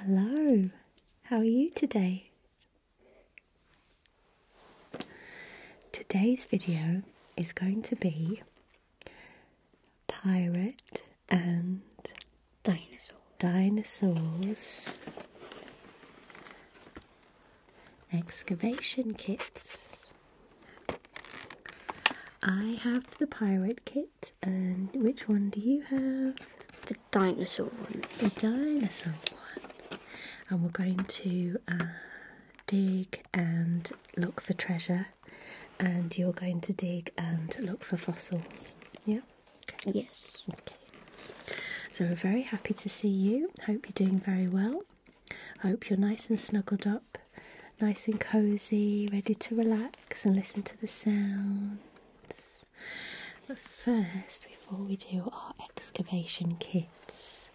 Hello, how are you today? Today's video is going to be pirate and dinosaur dinosaurs excavation kits. I have the pirate kit, and which one do you have? The dinosaur one. The dinosaur one. And we're going to uh, dig and look for treasure, and you're going to dig and look for fossils. Yeah? Yes. Okay. So we're very happy to see you. Hope you're doing very well. I hope you're nice and snuggled up, nice and cozy, ready to relax and listen to the sounds. But first, before we do our excavation kits,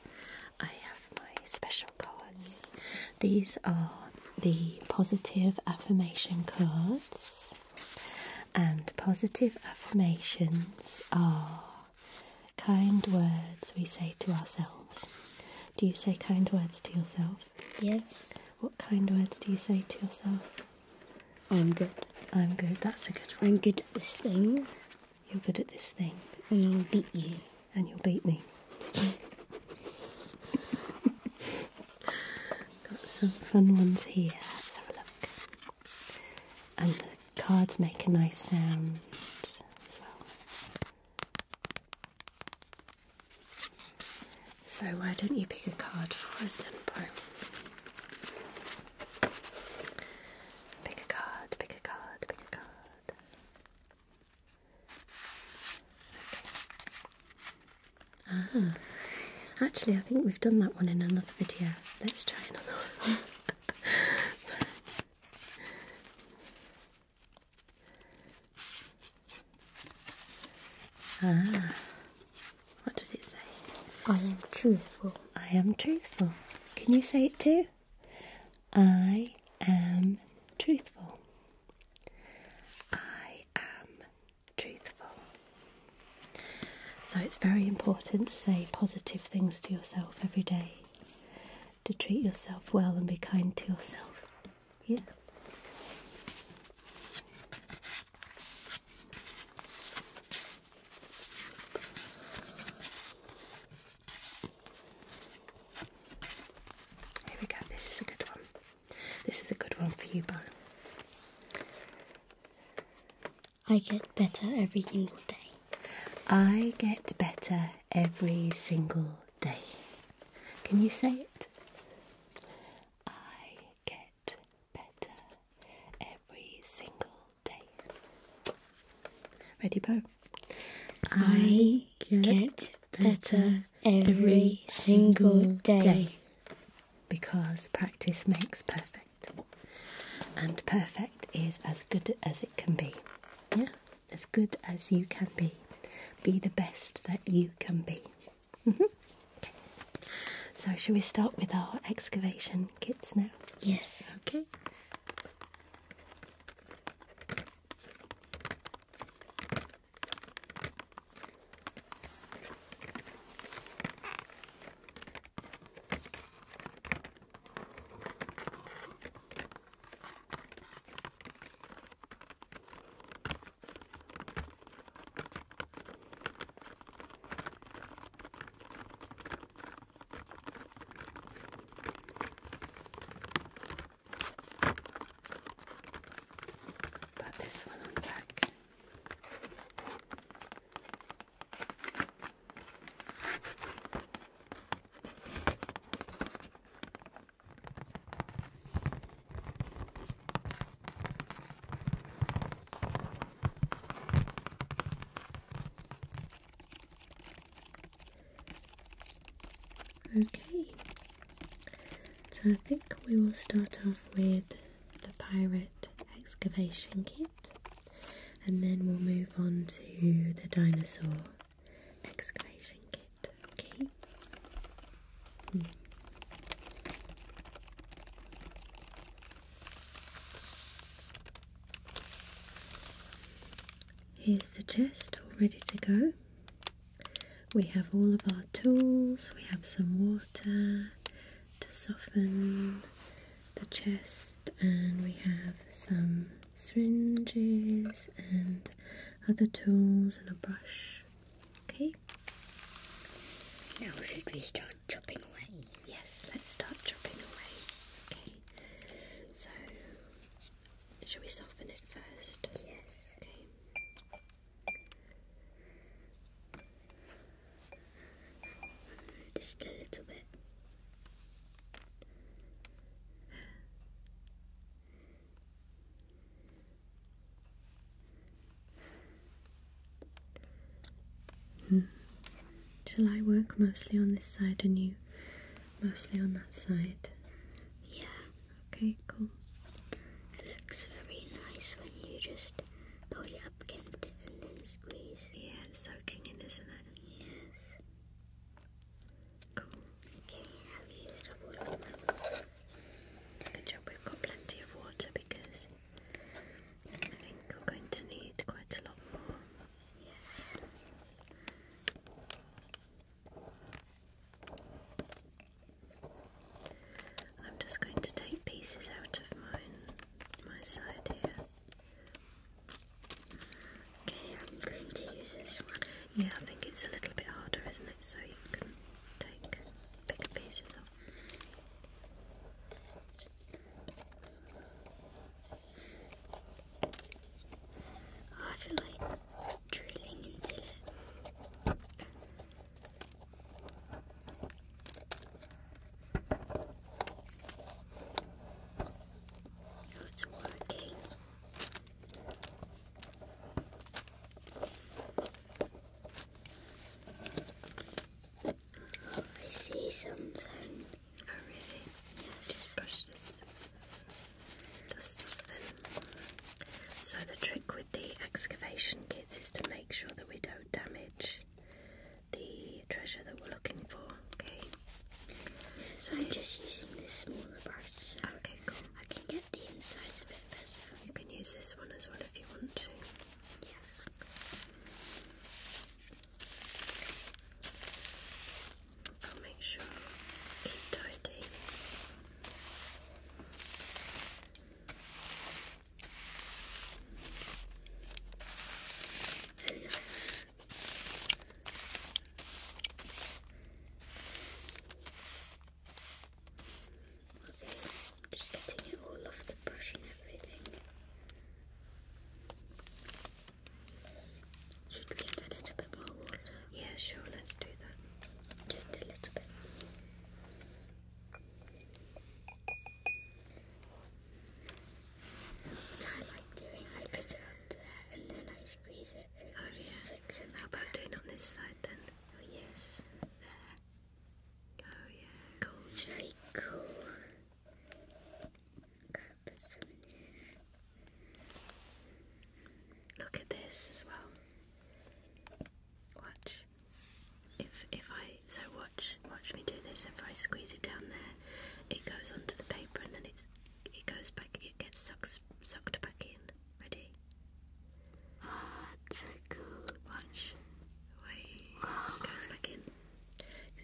I have my special cards. These are the positive affirmation cards, and positive affirmations are kind words we say to ourselves. Do you say kind words to yourself? Yes. What kind words do you say to yourself? I'm good. I'm good. That's a good one. I'm good at this thing. You're good at this thing. And I'll beat you. And you'll beat me. Got some fun ones here. have a look cards make a nice sound as well. So why don't you pick a card for us then, Pick a card, pick a card, pick a card. Ah, actually I think we've done that one in another video. Let's try another one. Ah, what does it say? I am truthful. I am truthful. Can you say it too? I am truthful. I am truthful. So it's very important to say positive things to yourself every day to treat yourself well and be kind to yourself. Yeah. Here we go. This is a good one. This is a good one for you, Bo. I get better every single day. I get better every single day. Can you say it? I get better every single day. Ready, Po? I, get, better, every, single day. Because practice makes perfect. And perfect is as good as it can be. Yeah? As good as you can be. Be the best that you can be. Mm-hmm. So, shall we start with our excavation kits now? Yes. Okay. Put this one on the back. Okay, so I think we will start off with the pirate excavation kit. And then we'll move on to the dinosaur excavation kit. Okay. Hmm. Here's the chest all ready to go. We have all of our tools, we have some water to soften the chest, and we have some syringes and other tools and a brush. Okay. Now, we should we start chopping away? Yes, let's start chopping away. Okay. So, shall we soften it first? Yes. Okay. Just a little bit. Hmm. Shall I work mostly on this side and you mostly on that side? Yeah. Okay, cool. It looks very nice when you just pull it up against it and then squeeze. Yeah, it's soaking in, isn't yes. Cool. Okay, I've used up all of we've got plenty of water because I think I'm going to need quite a lot more. Yes. I'm just going to take pieces out of mine, my side here i Yeah, I think it's a little bit harder, isn't it? So you can take bigger pieces off. I feel like drilling into it. It's working. I see something. Oh, Just brush this dust off then. So, the trick with the excavation kits is to make sure that we don't damage the treasure that we're looking for. Okay. So I'm just using this smaller brush. okay, cool. I can get the inside a bit better. You can use this one as well if you want to. Yes. I'll make sure keep tidy. Uh, Okay, just getting all of the brush and everything. Should we get a little bit more water? Yeah, sure, let's do that. Just a little bit. Which I like doing. I put it up there and then I squeeze it. And oh, yeah. six How about doing on this side then? Oh, yes. There. Oh, yeah. Cool. very cool. Look at this as well. Watch. If if I so watch watch me do this. If I squeeze it down there, it goes onto the paper and then it's it goes back. It gets sucked sucked back in. Ready? That's so cool. Watch. It goes back in.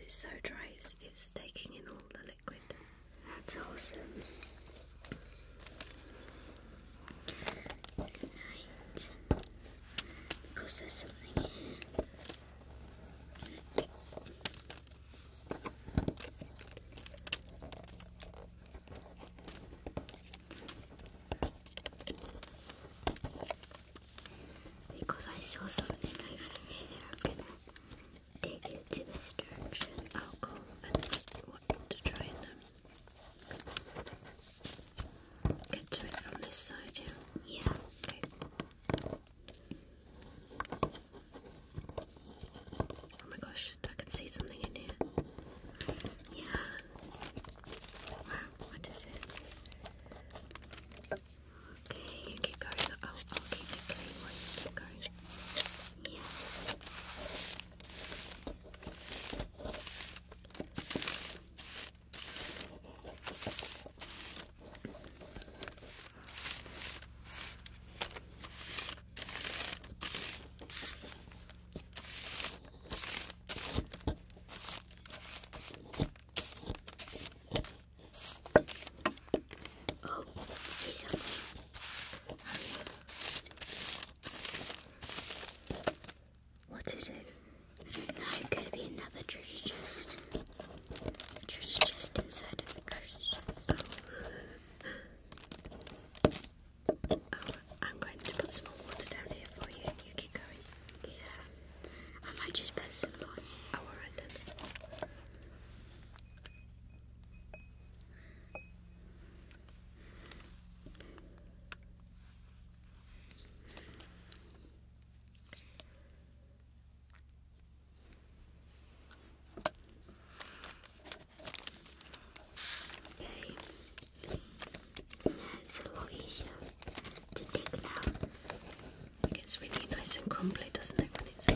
It's so dry. It's, taking in all the liquid. That's awesome. Right. Because there's something here. Because I saw something over here, I'm gonna dig into this direction. I'll go and want to try them. Get to it from this side, yeah? Oh my gosh, I can see something in here. Yeah. Wow, what is it? Okay, you keep going. I'll, oh, I'll keep going. Yeah. Oh, see something. What is it? It could be another treasure chest. Oh, I'm going to put some more water down here for you you keep going. Yeah. I might just put some more. Oh, alright then. Okay. That's a lot easier to dig it It gets really nice and crumbly, doesn't it, when it's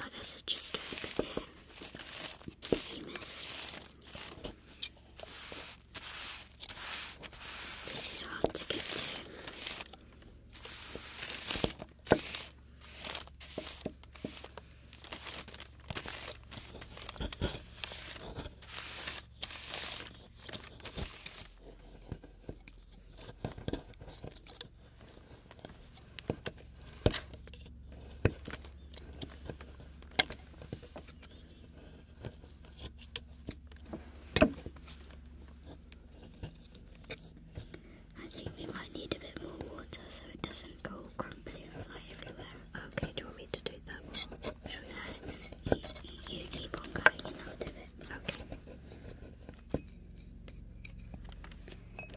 Oh, this is just a famous. This is hard to get to. I think we might need a bit more water so it doesn't go crumbly and fly everywhere. Okay, do you want me to do that you, keep on going and I'll do it. Okay.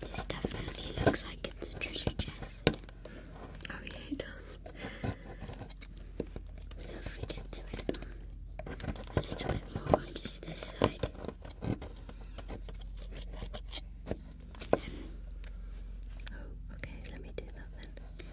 This definitely looks like it's a treasure chest. Oh yeah, it does. So if get to it a little bit more on just this side, oh, okay, let me do that then.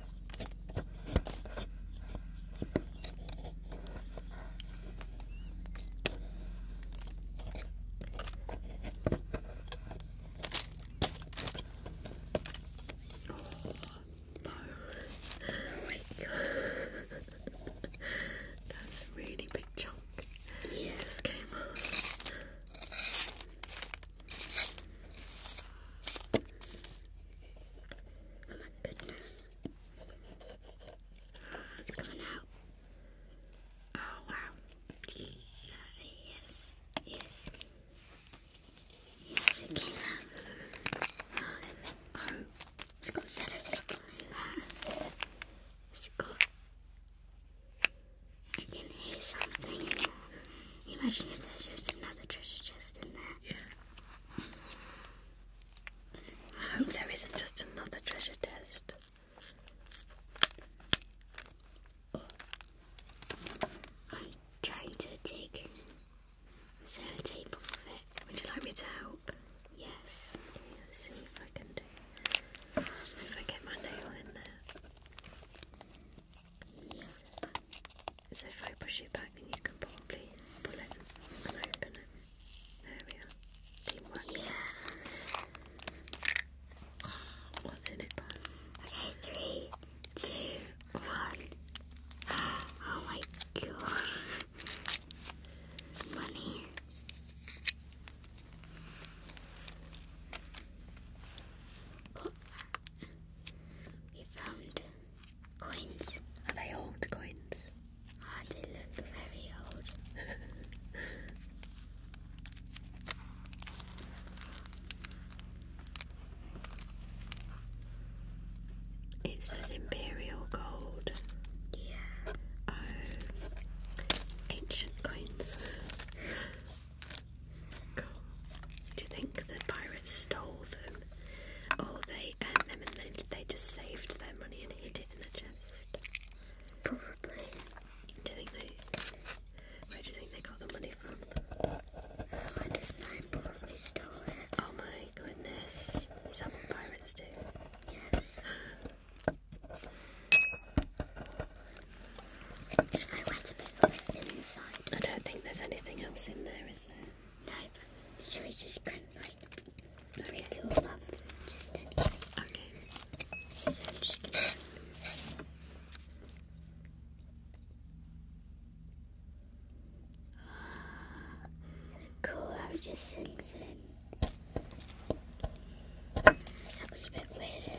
Oh my god! That's a really big chunk. just came off. Oh my goodness. It's coming out. Oh wow. yes. Yes. Yes, it Oh, it's got cellophane. It's got I can hear something in there. Imagine if there's just another treasure chest in there. Yeah. I hope there isn't just another treasure chest. I'm trying to take the sellotape off of it. Would you like me to help? Yes. let's see if I can do If I get my nail in there. So if I push it back, then you can probably pull it and open it. There we are. Teamwork. What's in it, Bob? Okay, three, two, one. Oh my god. Money. We found coins. Are they old coins? Ah, they look very old. it says imperial gold. Yeah. Oh, ancient coins. Do you think the pirates stole them, or they them and then they just saved their money and hid it in a chest? Probably. Do you think they? Where do you think they got the money from? Oh my goodness! Is pirates do? Yes. I don't think there's anything else in there, is there? No. So it's just kind of okay. Okay. Cool, just sings in. That was a bit weird.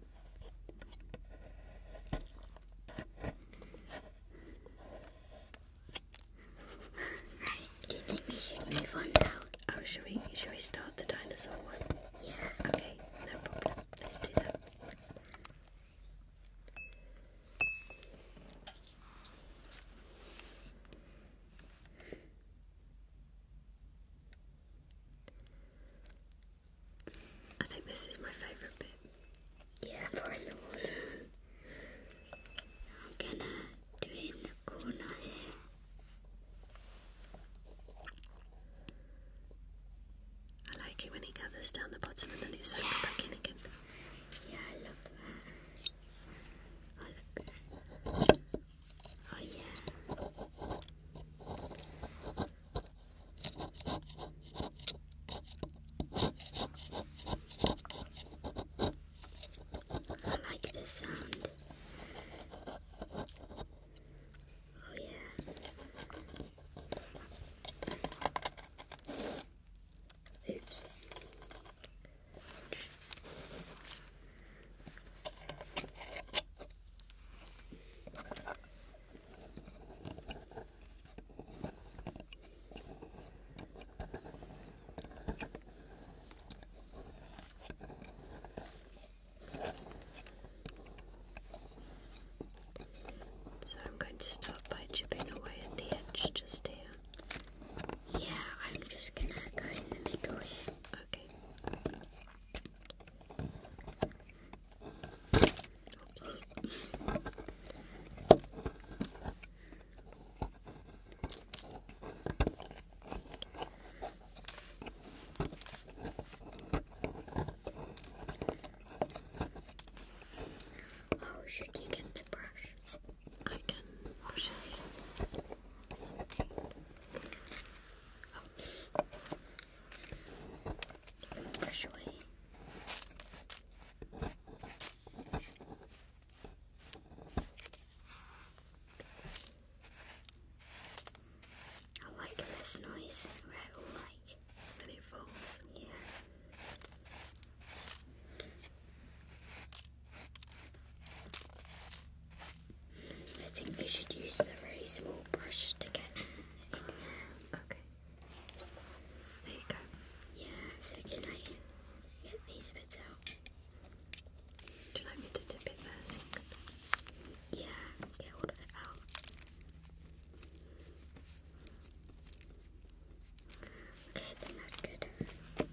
should Oh, should we, should we start the dinosaur one? Yeah. Okay, Let's do that. I think this is my favourite bit. Yeah, pouring the water. I'm gonna do in the corner here. I like it when it gathers down the bottom and then it soaks yeah. back in again. Yeah, I I love that. Oh yeah. I like this sound. Oh yeah. Oops. So I'm going to start by chipping away at the edge just here. Yeah, I'm just gonna go in the middle here. Okay. Oh, should you get the brush? I can push it. Oh. Give the brush I like this noise, rattle like when it falls, yeah. I think we should use the very small brush to get in there. Okay. There you go. Yeah, so can I get these bits out? Do you like me to dip it there Yeah, get all of it out. Okay, I that's good.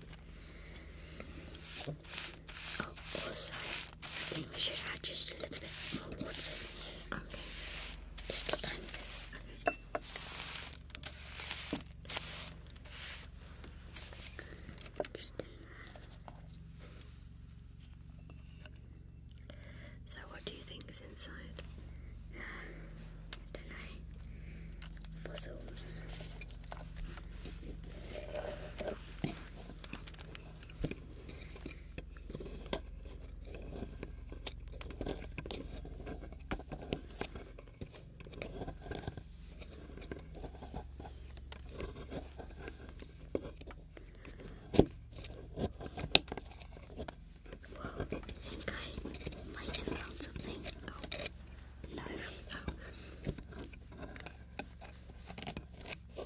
Oh, also, think we should add just a little bit more water Okay. Just a tiny bit. so what do you think is inside? don't know. Fossils. Whoa, I think I might have found something. Oh, no. Oh.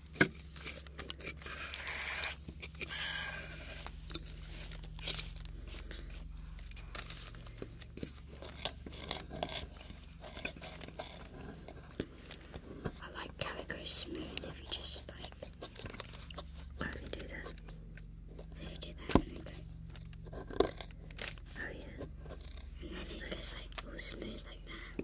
I like how it goes smooth if you just like only do that. So you do that Oh yeah. And then it goes like all smooth like that.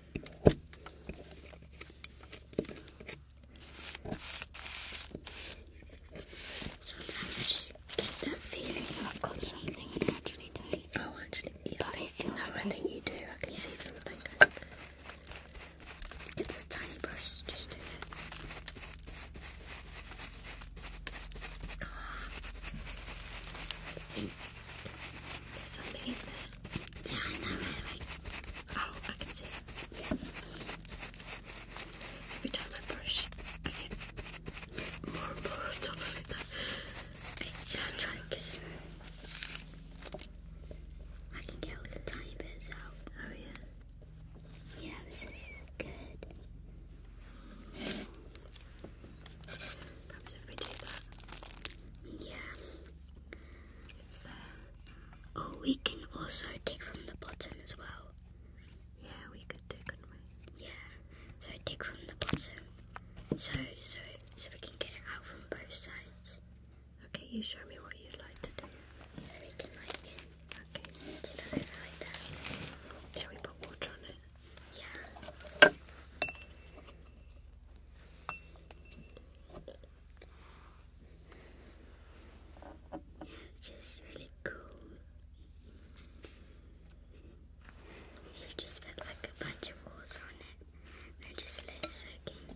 Sometimes I just get that feeling I've got something Oh, actually, yeah. no, I think you do. I can see something. Get this tiny brush, just do it. Come There's something in this. Yeah, I know, right, Oh, I can see it. Yeah. Every brush, I more more on top of it. It's just like... I can get all the tiny bits out. Oh, yeah. Yeah, this is good. Yeah. Oh, we can also dig from the bottom as well. Yeah, we could dig, couldn't we? Yeah. So dig from the bottom. So so so we can get it out from both sides. Okay, you show me what you'd like to do. Shall we put water on it? Yeah. Yeah, it's just really cool. It just felt like a bunch of water on it. I just let it soak in.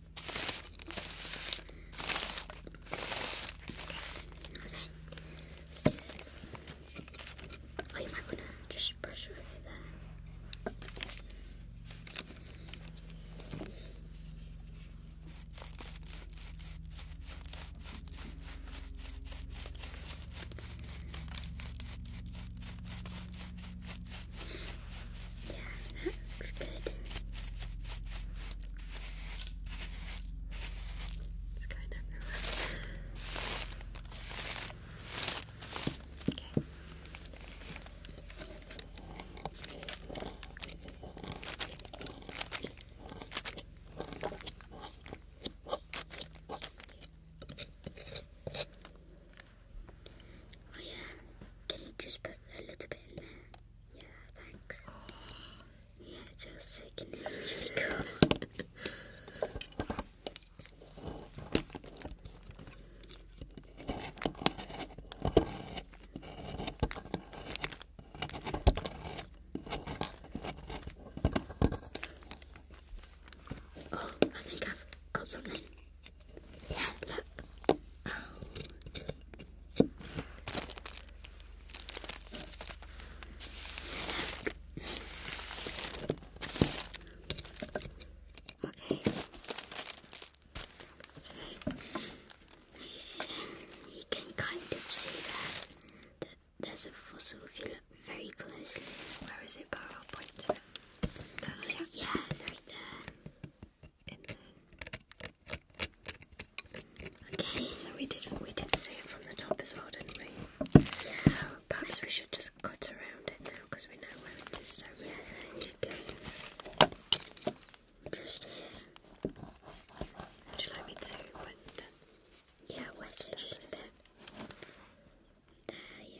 Oh, you might want to just brush over there. Yeah, that looks good. It's kind of Okay. Oh yeah, can you just put a little bit in there? Yeah, thanks. Yeah, just so you Oh, I think I've got something. Yeah, look. Oh. Okay. You can kind of see that, that there's a fossil if you look very closely. Where is it, Bar? Yeah, right there. Okay, so we did we did see it from the top as well, didn't we? So perhaps we should just cut around it now because we know where it is. Don't we? you go just here. Would you like me to Yeah, wet it just a There, yeah.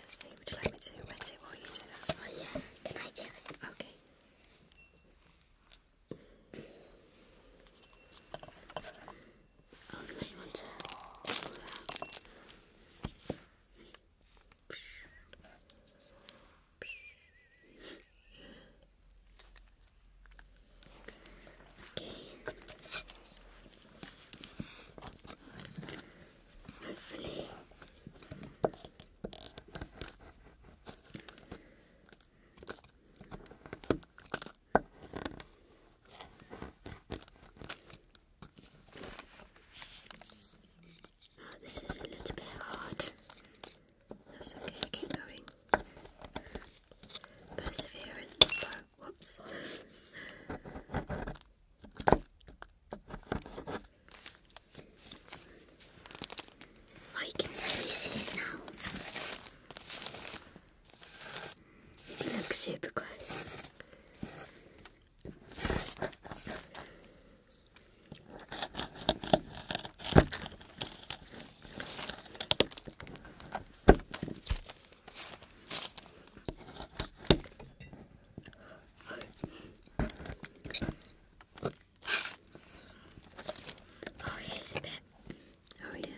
let's see, would you like me to rinse it while you do that? Oh yeah, can I do it? Okay. Oh, you might want to pull it Okay hopefully oh, this is a little bit hard. That's okay, keep going. Perseverance. Whoops. I you can really see it now. If you look super close. Oh, here's a bit. How are now?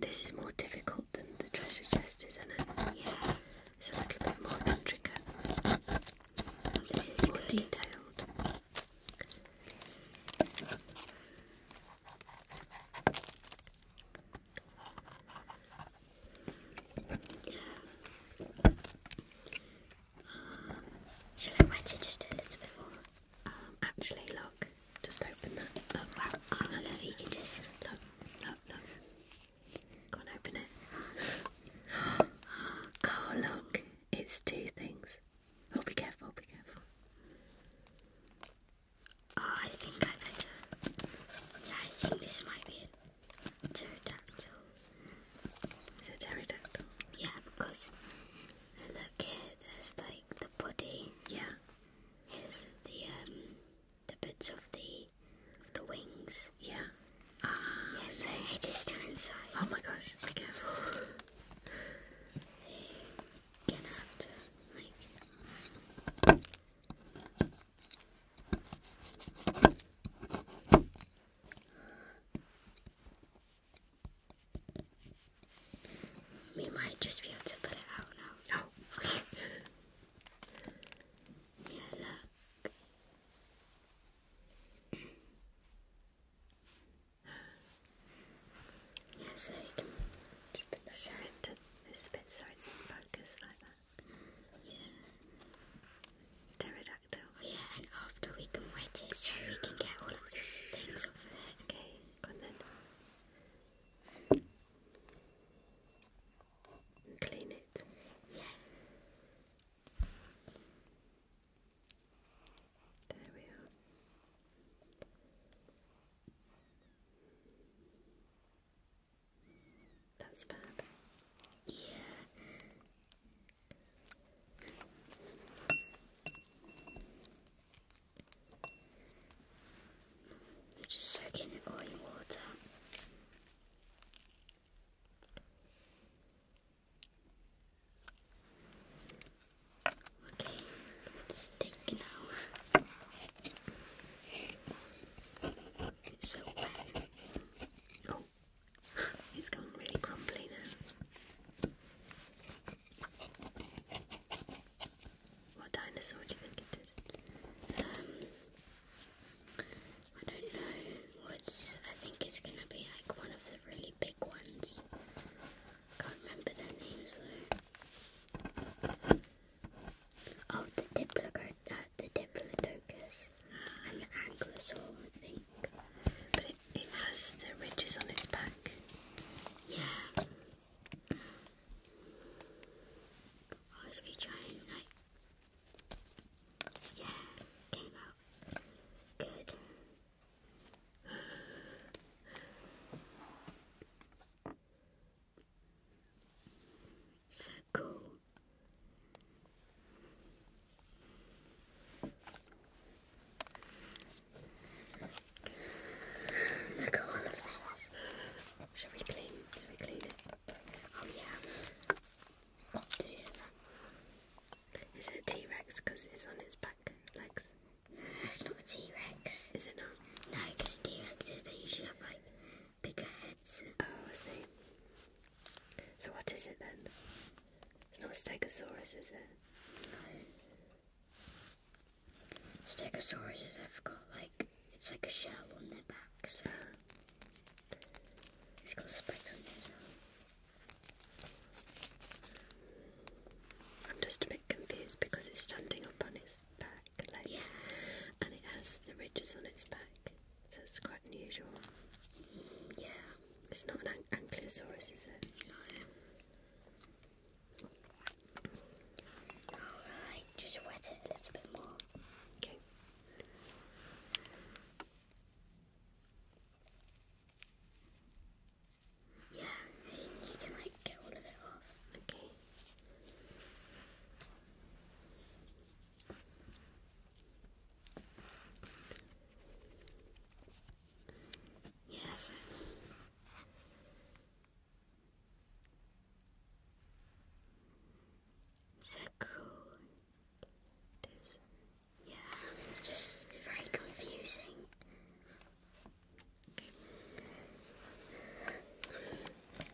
This is more difficult than the treasure chest, isn't oh, it? Yeah, it's a little bit more intricate. This is more detailed. Um, I wet it just a little bit more? Um, actually, look, just open that. up. wow. Oh, no, you can just look, look, look. Go and open it. oh, look, it's two things. Oh, be careful, be careful. I think I better. Yeah, I think this might be a pterodactyl. Is it pterodactyl? Yeah, because look here, there's like the body. Yeah. Here's the um the bits of the the wings. Yeah. Ah, ah yes, yeah, so head inside. Oh my gosh, be careful. gonna have to like we might just be able to put it out now. No. Oh. yeah, look. yeah, so can just put the shirt this bit so it's in focus like that. Pterodactyl. yeah, and after we can wet it so we can get all of these off it. Okay, go on Clean it. Yeah. There we are. That's fab. Yeah. You're just soaking it all in water. Okay, let now. It's so bad. Oh, it's really crumbly now. What dinosaur do you think it is? I don't know. What's? I think it's gonna be like one of the really big ones. Can't remember their names though of oh, the Diplodocus, uh, the Diplodocus and the Ankylosaur, I think. But it, has the ridges on its back. Yeah. I was really trying, yeah, came out good. So cool. Look at all of this. Shall we clean? Shall we clean it? Oh yeah. Is it a T-Rex because it's on its back legs? That's not a T-Rex. Is it not? like T Rexes, they usually have like bigger heads. Oh, I see. So, what is it then? It's not a Stegosaurus, is it? No. Stegosauruses have got like, it's like a shell on their back, so. It's got spikes on it. I'm just a bit confused because it's standing on its back legs, yeah. and it has the ridges on its back, so it's quite unusual. Yeah, it's not an ankylosaurus, is it? Alright, just wet it a little bit more. Okay. Yeah, you can get all of it off. Okay. Yes. Is This, yeah, just very confusing.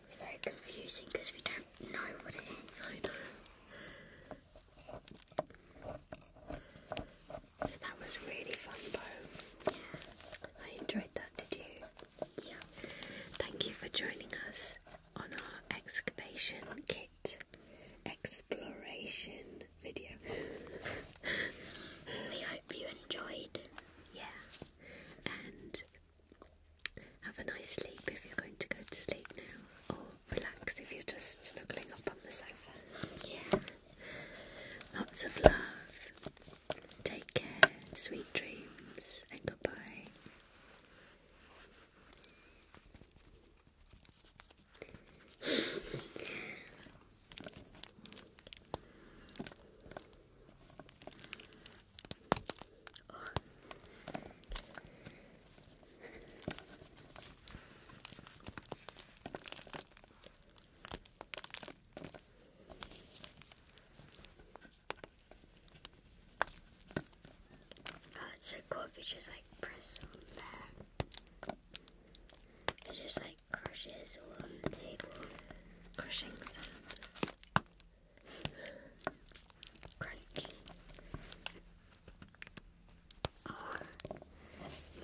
It's very confusing because we don't know what it is. So that was really fun, Bo. Yeah, I enjoyed that. Did you? Yeah. Thank you for joining us on our excavation kit exploration video. we hope you enjoyed yeah, and have a nice sleep if you're going to go to sleep now, or relax if you're just snuggling up on the sofa. Yeah, lots of love. Take care, sweet dreams, and goodbye. Oh. it's so cool if you just like press that. It just like crushes on the table. Crushing sound. Crunchy. Oh,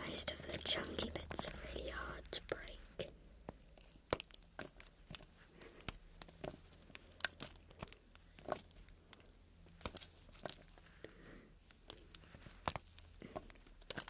most of the chunky bits are really hard to break.